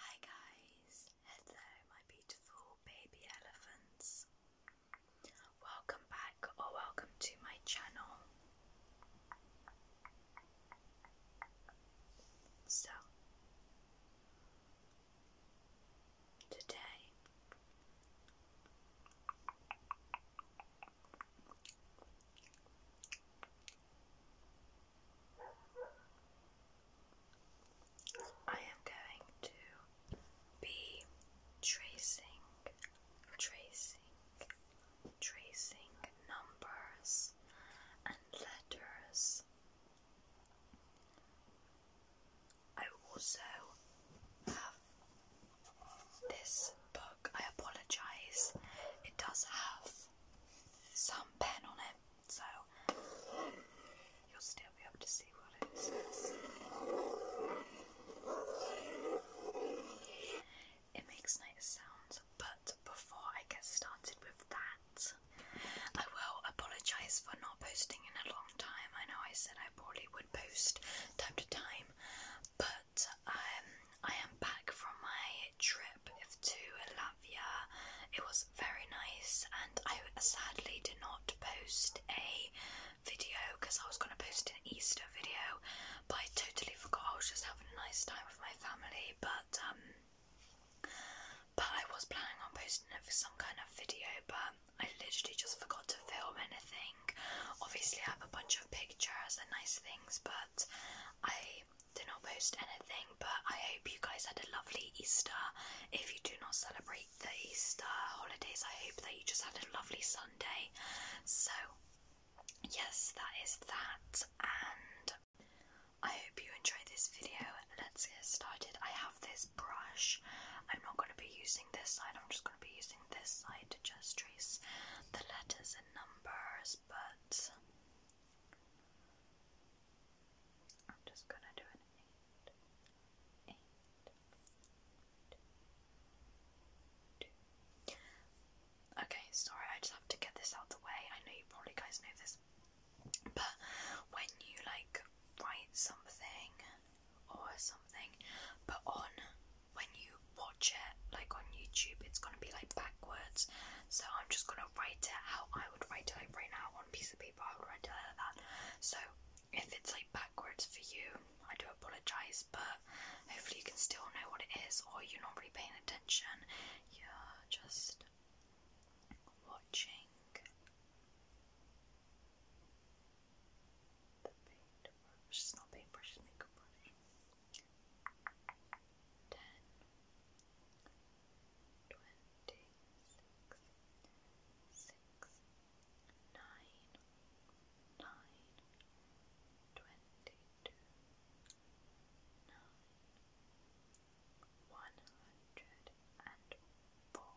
Hi guys, hello my beautiful baby elephants. Welcome back or welcome to my channel. So, today I am going to be tracing, tracing, tracing numbers and letters. I also have this book. I apologize. It does have some pen on it, so you'll still be able to see what it says. It makes nice sounds, but before I get started with that, I will apologise for not posting in a long time. I know I said I probably would post time to time, but um, I am back from my trip to Latvia. It was very nice, and I sadly did not post a video because I was going to post an Easter video, but I totally forgot. I was just having a nice time with my family, but um, but I was planning on posting it for some kind of video, but I literally just forgot to film anything. Obviously, I have a bunch of pictures and nice things, but I did not post anything, but I hope you guys had a lovely Easter. If you do not celebrate the Easter holidays, I hope that you just had a lovely Sunday. So, yes, that is that, and I hope you enjoyed this video. Let's get started. I have this brush. I'm not going to be using this side, I'm just going to be using this side to just trace the letters and numbers, but I'm just gonna do an eight, eight, two, two. Okay, sorry, I just have to get this out the way. I know you probably guys know this, but when you like write something or something, but on when you watch it like on YouTube, it's gonna be like backwards. So I'm just gonna write it how I would write it like right now on a piece of paper. I would write it like that. So if it's like backwards for you, I do apologize, but hopefully you can still know what it is, or you're not really paying attention. You're just watching the paintbrush. paintbrush, it's makeup brush ten, twenty six, six, nine, nine, twenty two, nine, one hundred and four. One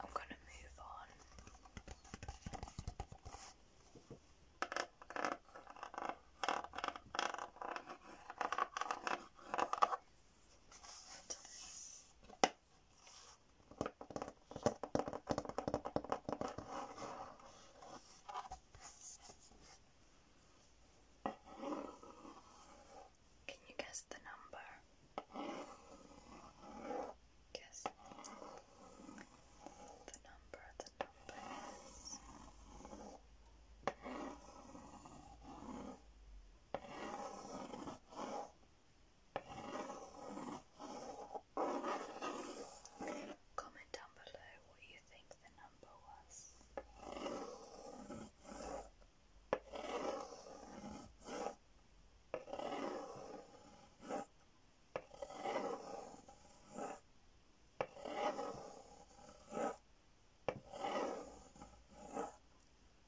I'm going to move on. Can you guess the number? Guess the number, the number is Comment down below what you think the number was.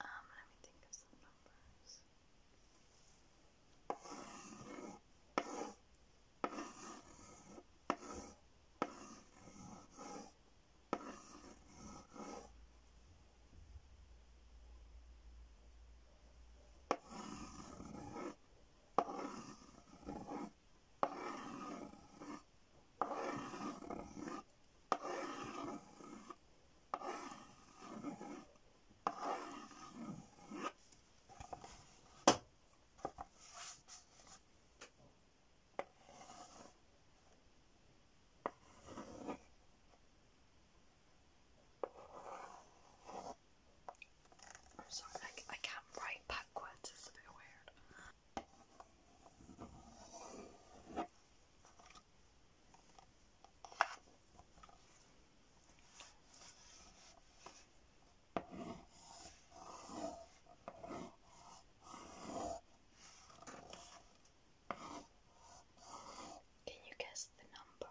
Um, let me think of some numbers. I'm sorry, I, I can't write backwards, it's a bit weird. Can you guess the number?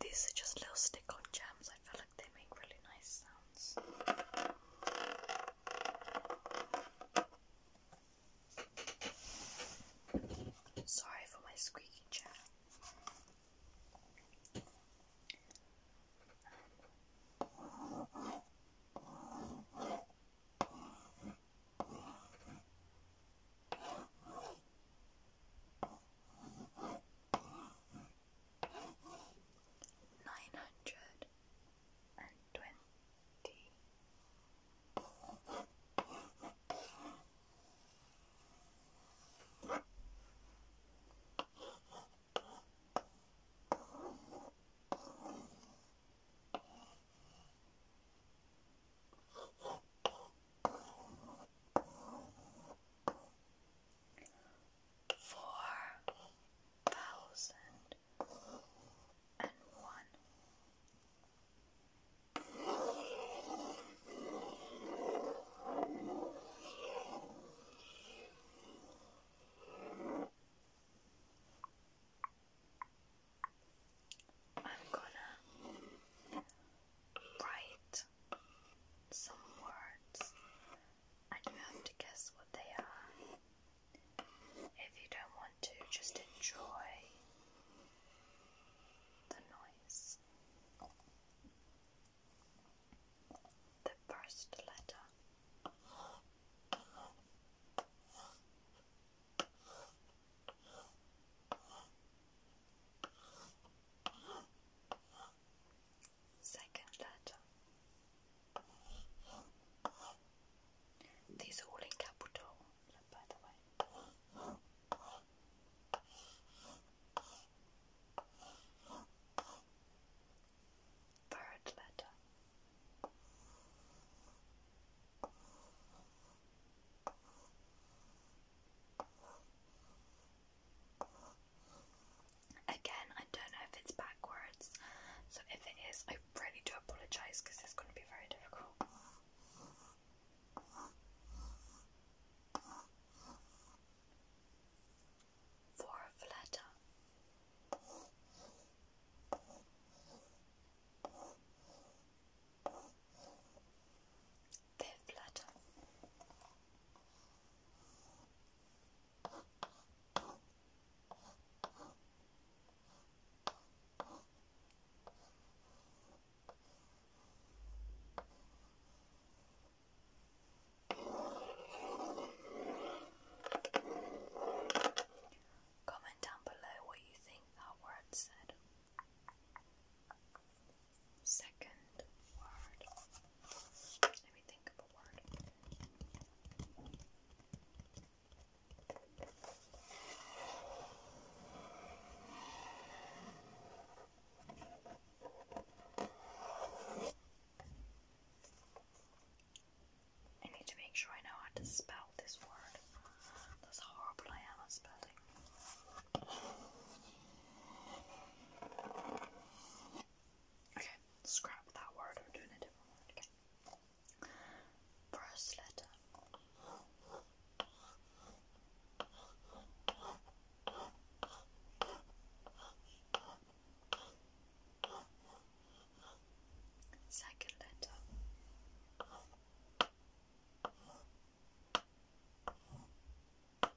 These are just little stick-on gems. I feel like they make really nice sounds. Sorry for my squeaky chair nine hundred and twenty four thousand and one. I'm gonna write some words and you have to guess what they are. If you don't want to, just enjoy the noise. The first letter. Second letter. These all in capital, Third letter. Again, I don't know if it's backwards, so if it is, I really do apologise because it's going to be very difficult. For a Fifth letter. Comment down below what you think that word said second word. Let me think of a word. I need to make sure I know how to spell this word. how horrible I am at spelling. Okay, scrap that word, I'm doing a different word. First letter. Second letter birdlet.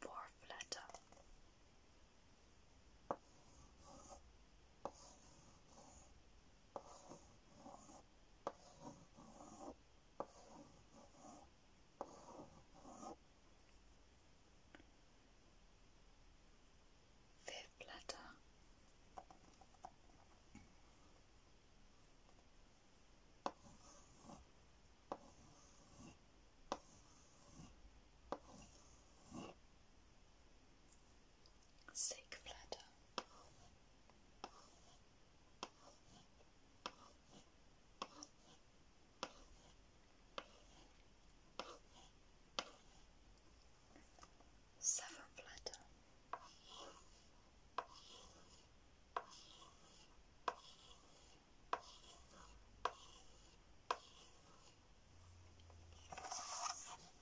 Fourth letter. Fifth letter. Sixth letter. Seventh letter.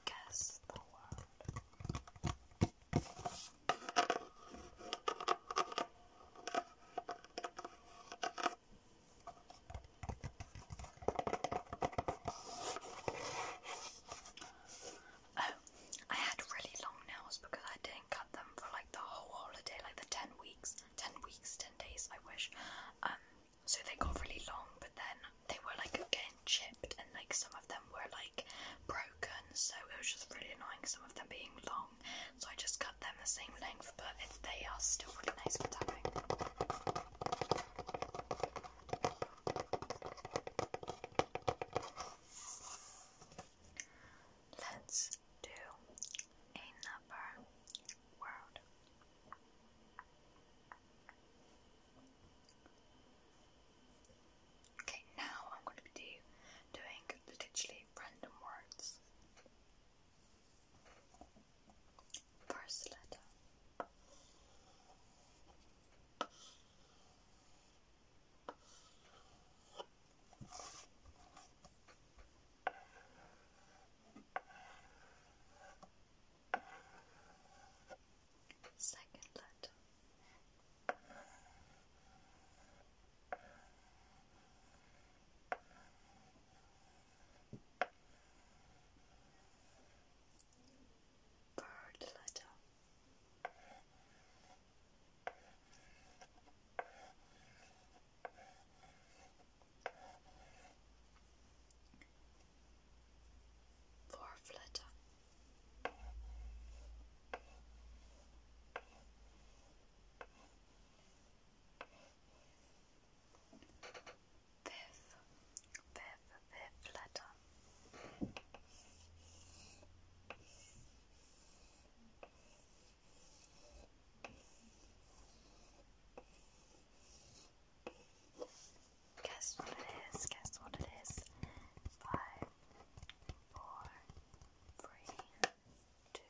Guess the word. Oh, I had really long nails because I didn't cut them for like the whole holiday, like the 10 weeks, 10 weeks, 10 days, I wish. Um, so they got really long, but then they were like getting chipped, and like some of them were like broken, so it was just really annoying, some of them being long. So I just cut them the same length, but it's, they are still really nice for tapping. Let's do another word. Okay, now I'm going to be doing literally random words. First letter. Second letter. Bird letter. Fourth letter. Fifth, fifth, fifth letter. Guess what it is, guess what it is. Five, four, three, two,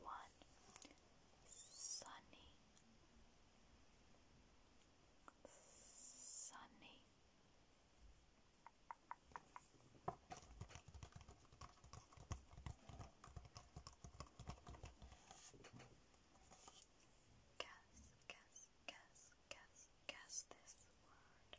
one. Sunny, sunny. Guess, guess, guess, guess, guess this word.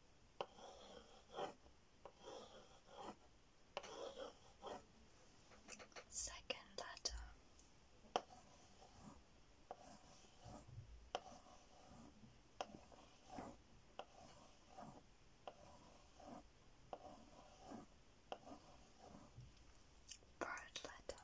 Second letter. Third letter. Fourth letter.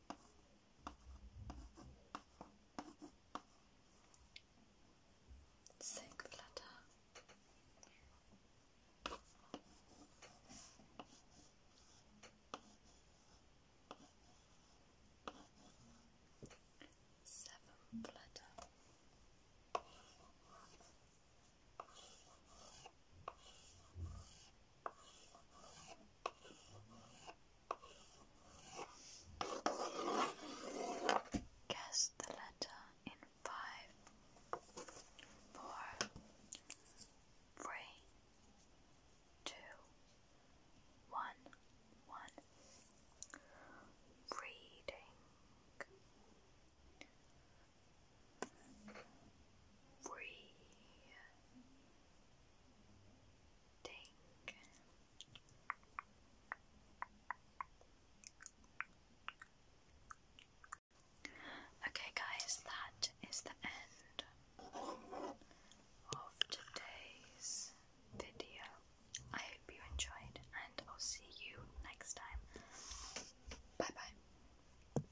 Silk flutter. Seven flutter. Eight Guess the letter in five, four, three, two, one, one. Reading breathing. Okay, guys, that is the end of today's video. I hope you enjoyed, and I'll see you next time. Bye bye.